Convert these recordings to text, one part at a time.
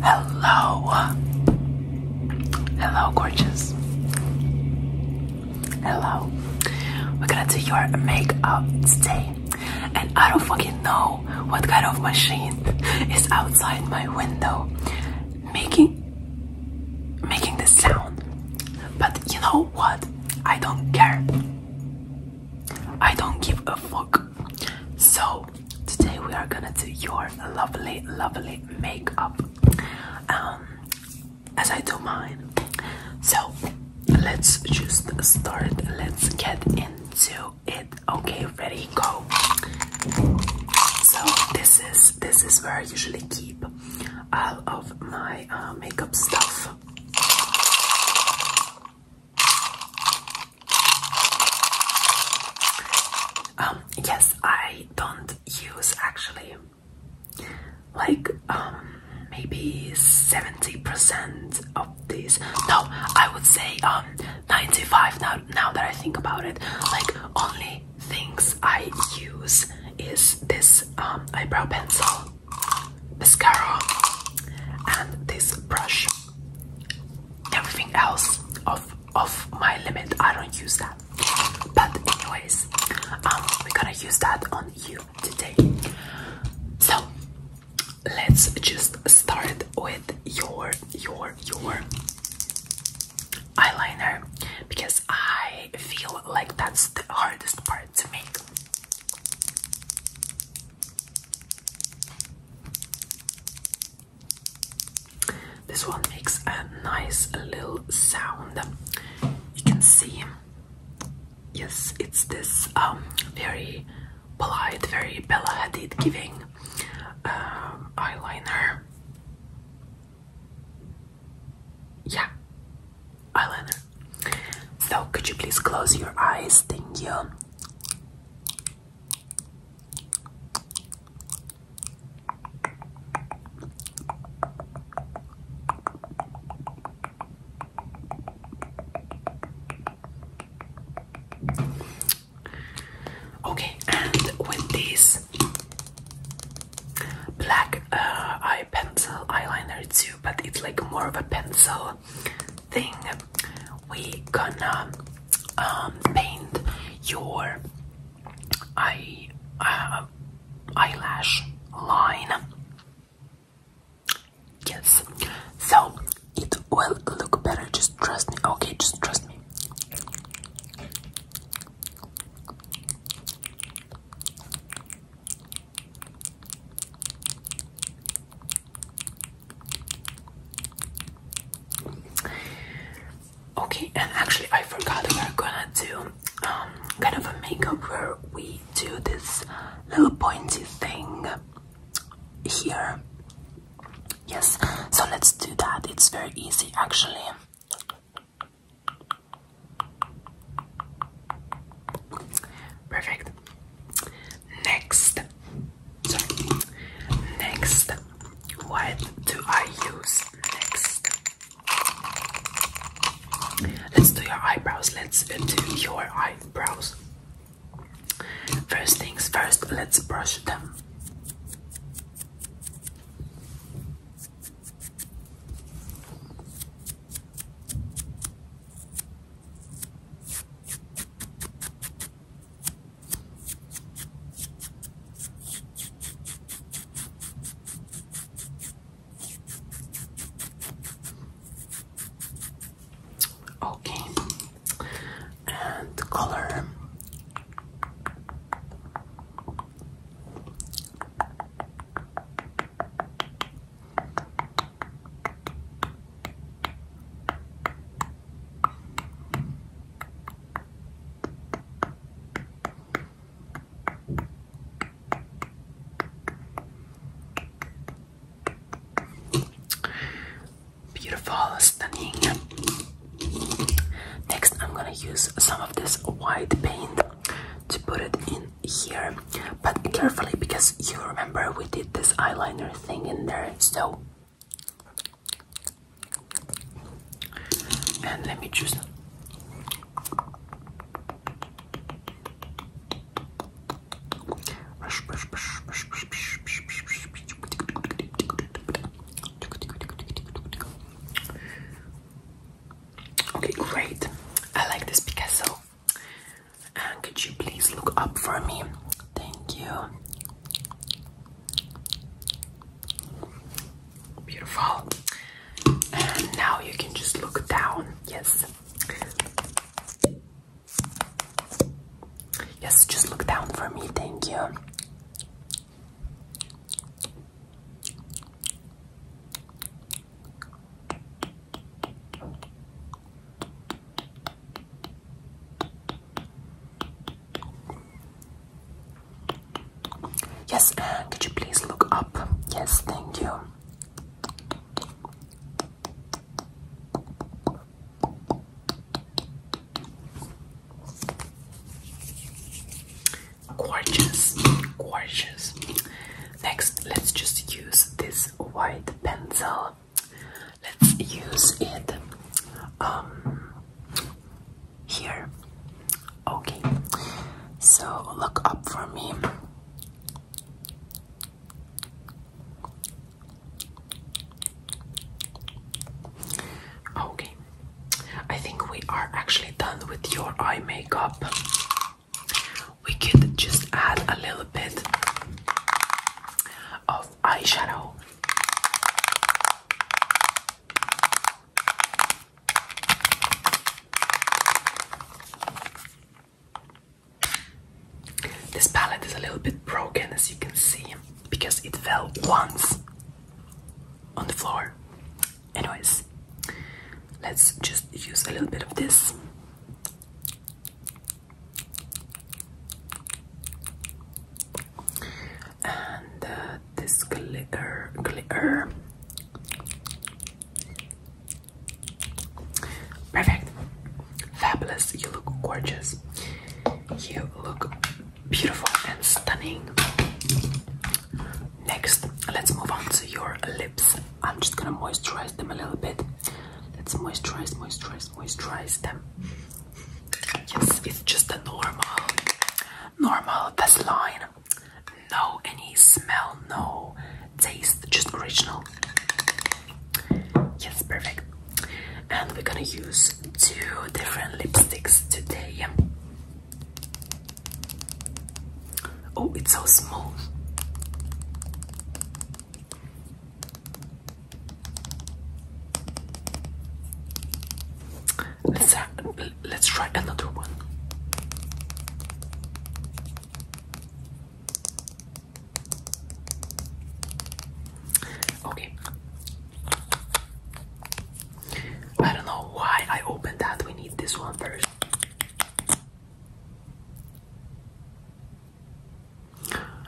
Hello. Hello, gorgeous. Hello. We're gonna do your makeup today. And I don't fucking know what kind of machine is outside my window making making this sound. But you know what? I don't care. I don't give a fuck. So, today we are gonna do your lovely, lovely makeup um, as I do mine. So, let's just start. Let's get into it. Okay, ready, go. So, this is this is where I usually keep all of my uh, makeup stuff. Um, yes, I don't use actually like um maybe 70% of these. No, I would say um 95 now now that I think about it. Like only things I use is this um eyebrow pencil, mascara and this brush everything else of of my limit I don't use that but anyways um, we're gonna use that on you today so let's just start with your your your eyeliner because I feel like that's the hardest part to make this one makes a nice little sound. You can see, yes, it's this um, very polite, very Bella Hadid giving um, eyeliner. Yeah, eyeliner. So, could you please close your eyes? Thank you. Okay, and with this black uh, eye pencil eyeliner too, but it's like more of a pencil thing we gonna um, paint your eye uh, eyelash line yes so it will look better just trust me okay just trust me Okay, and actually, I forgot we're gonna do um, kind of a makeup where we do this little pointy thing here. Yes, so let's do that. It's very easy actually. Perfect. Next, Next, what do I use next? Let's do your eyebrows. Let's do your eyebrows. First things first, let's brush them. Okay, and the color. Beautiful, stunning. Next, I'm gonna use some of this white paint to put it in here but carefully because you remember we did this eyeliner thing in there so and let me just Okay, great. I like this Picasso. And could you please look up for me? Thank you. Beautiful. And now you can just look down. Yes. Yes, just look down for me. Thank you. Yes, could you please look up? Yes, thank you. Gorgeous, gorgeous. Next, let's just use this white pencil let's use it um, here. Okay, so look up for me. Okay, I think we are actually done with your eye makeup we could just add a little bit of eyeshadow. This palette is a little bit broken as you can see because it fell once on the floor. Anyways, let's just use a little bit of this and uh, this glitter glitter perfect fabulous you look gorgeous you look beautiful and stunning next let's move on to your lips I'm just gonna moisturize them a little bit. Let's moisturize, moisturize, moisturize them. Yes, it's just a normal, normal line. No any smell, no taste, just original. Yes, perfect. And we're gonna use two different lipsticks today. Oh, it's so smooth. Let's let's try another one. Okay. I don't know why I opened that. We need this one first.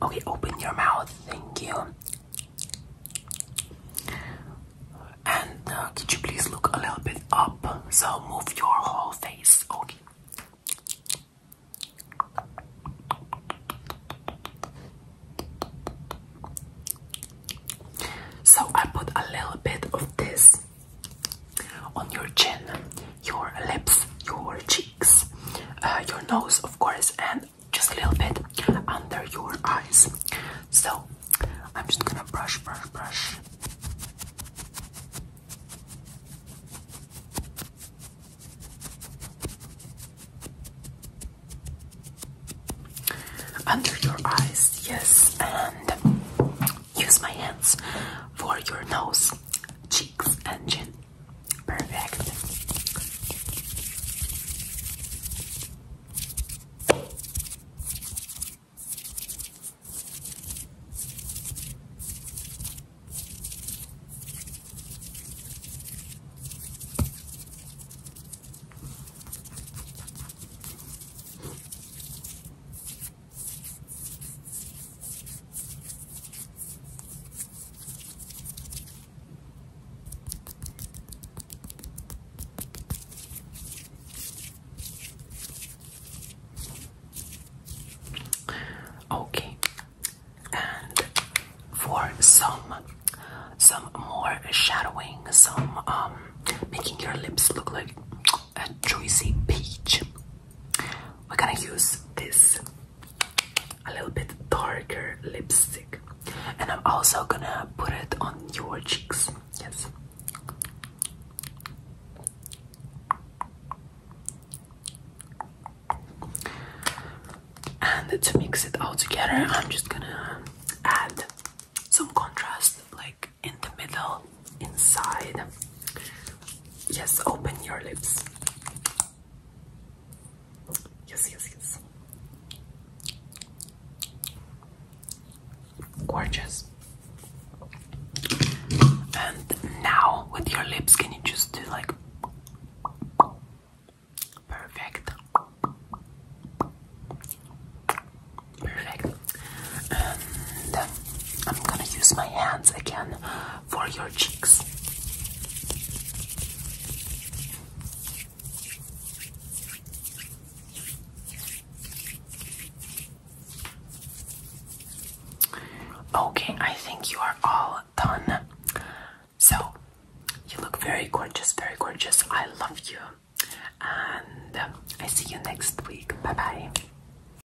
Okay, open your mouth. Thank you. And uh, could you please look a little bit up? So move your whole face. Okay. So I put a little bit of this on your chin, your lips, your cheeks, uh, your nose, of course, and just a little bit under your eyes. So I'm just gonna brush, brush, brush. Under your eyes, yes, and use my hands for your nose, cheeks, and chin. Perfect. Okay, and for some some more shadowing, some um making your lips look like a juicy peach. We're gonna use this a little bit darker lipstick, and I'm also gonna put it on your cheeks. Yes. And to mix it all together, I'm just gonna add some contrast like in the middle inside. Yes, open your lips. Yes, yes, yes. Gorgeous. And now with your lips, can you just do like perfect? Perfect. And I'm gonna use my hands again for your cheeks. Okay, I think you are all done. So, you look very gorgeous, very gorgeous. I love you. And I see you next week. Bye bye.